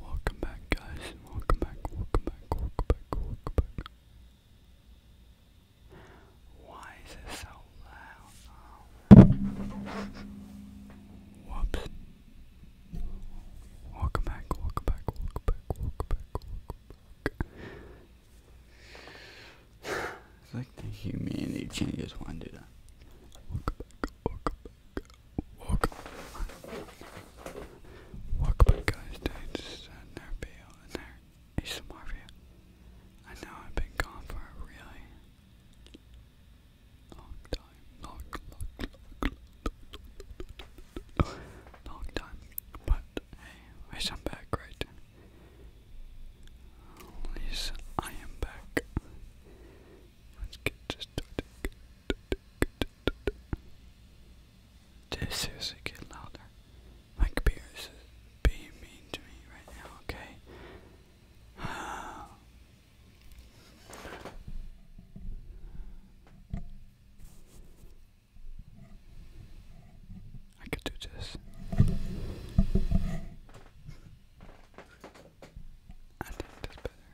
Welcome back, guys. Welcome back, welcome back, welcome back, welcome back. Why is it so loud? Oh. Whoops. Welcome back, welcome back, welcome back, welcome back, welcome back. it's like the humanity changes one, did I? Welcome back, welcome back walk walk guys dudes and and their ASMR I know I've been gone for a really long time. Long long long time. But hey, at I'm back right. At least I am back. Let's get this started. Dude, seriously, get louder. My computer is being mean to me right now, okay? I could do this. I think that's better.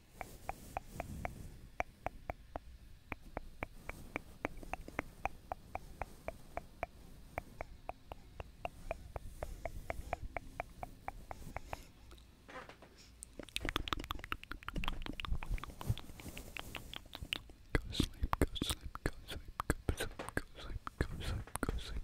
Go sleep, go sleep, go sleep, go sleep, go sleep, go sleep, go sleep. Go sleep.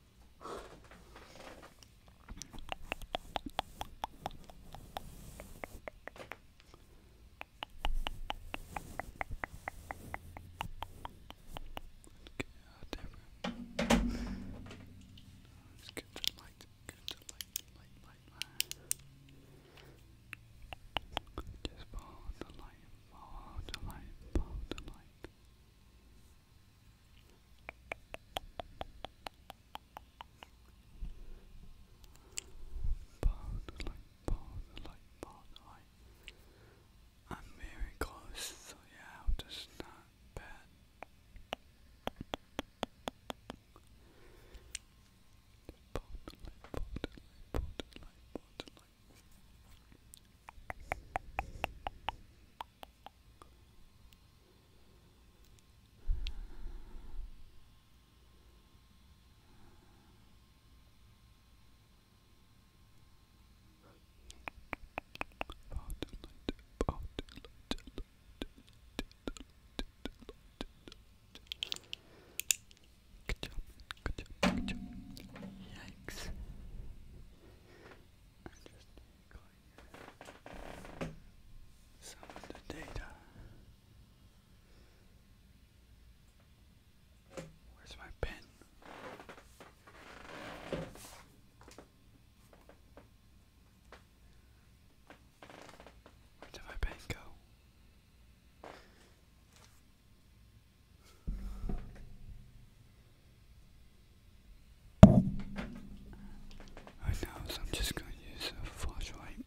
Let's get the light, get light, light, light, light. Just follow the light, follow the light, follow the light. Pause, like, pause, like, pause, like. I'm very close, so yeah, i not bet. Just pause, like, pause, like, pause, like, pause, Good job, good job, good job. Yikes just clean some of the data. Where's my pen? Where did my pen go? I know, so I'm just going to use a flashlight.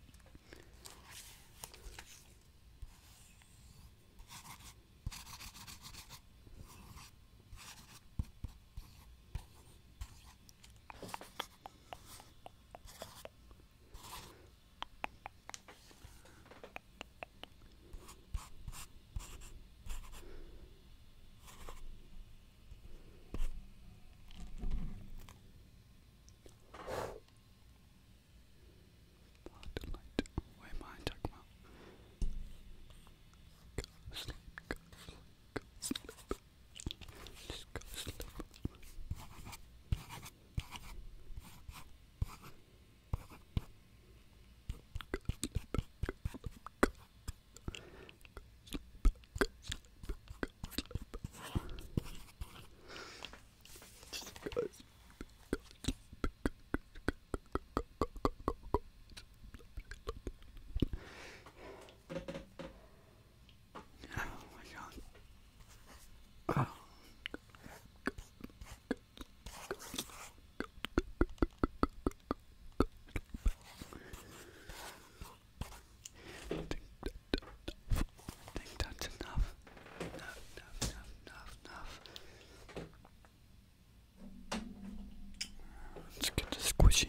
Spotlight. Where am I talking about? Go sleep, sleep, sleep. sleep. Oh my god. Oh. I think that's enough. Enough, enough, enough, enough, enough. Let's get the squishy.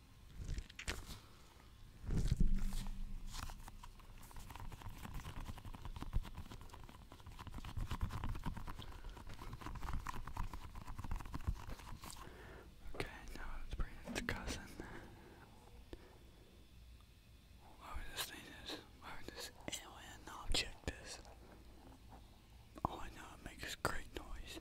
Okay, now let's cousin. Why would this thing is? Why would this alien object this? All I know it makes great noise.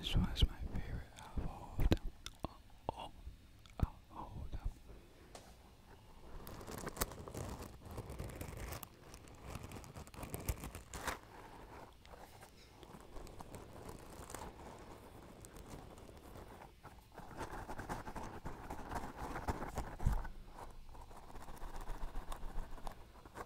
This one's my favorite out of all of them.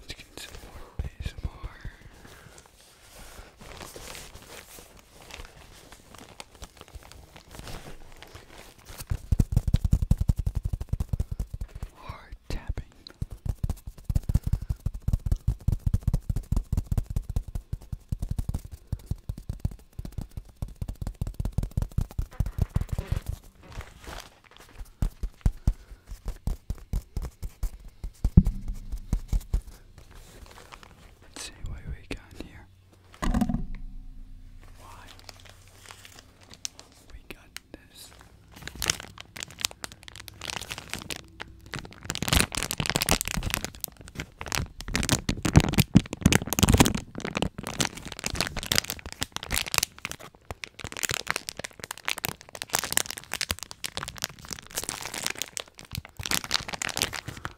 Let's get some more base more. Hard tapping. Let's see what we got here. Why? We got this.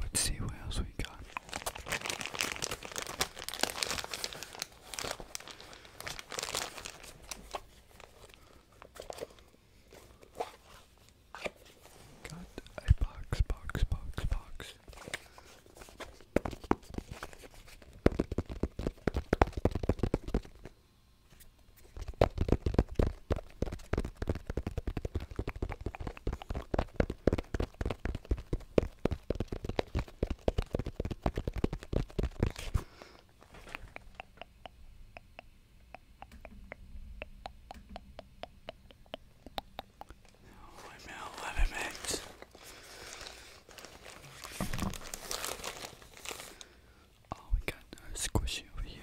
Let's see what else we got. Got a box, box, box, box. Wait a let him act. Oh, we got no squishy over here.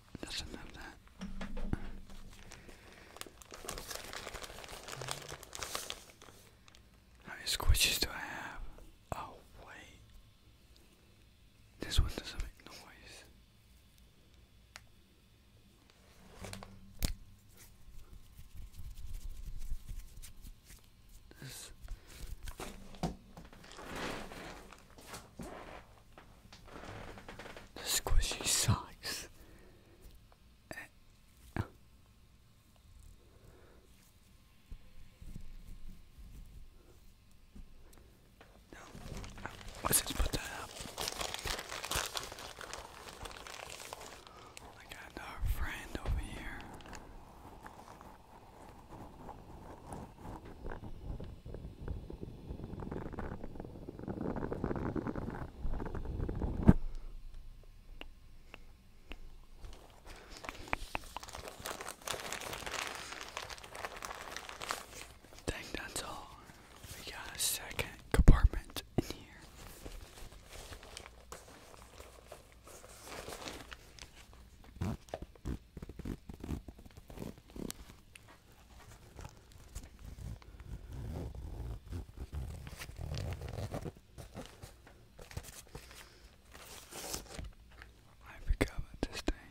doesn't have that. How many squishes do I have? Oh, wait. This one doesn't make noise. This. The squishy socks. let's just put that up. I got another friend over here. Dang, that's all. We got a second compartment in here. I forgot about this thing.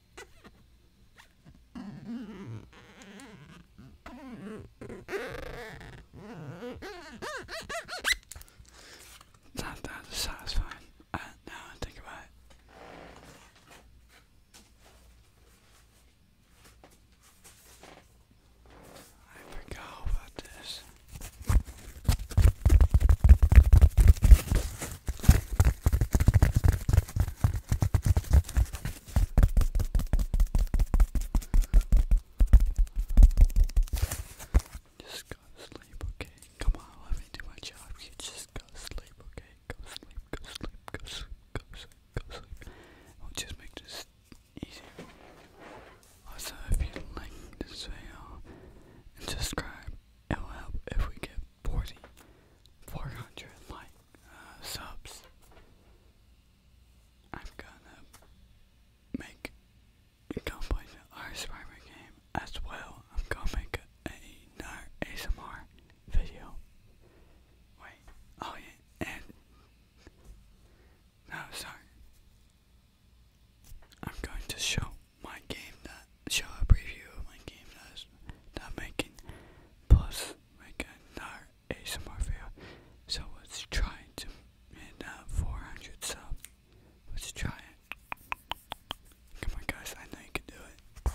That, that is satisfying. Uh, now I think about it. I forgot about this. Just go to sleep, okay? Come on, let me do my job. You just go to sleep, okay? Go sleep, go sleep, go sleep, go sleep, go sleep. I'll just make this easy. Also, if you like this video subscribe, it will help if we get 40, 400 like uh, subs. I'm gonna make Don't Play the Art Survivor game as well. I'm gonna make another ASMR video. Wait, oh yeah, and no, sorry. I'm going to show my game that show a preview of my game that's not making plus like another ASMR video. So let's try to hit uh, 400 sub. Let's try it. Come on guys, I know you can do it.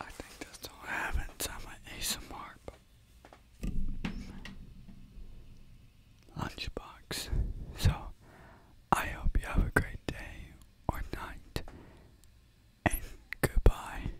I think that's all I have inside my ASMR lunchbox. So I hope you have a great day or night, and goodbye.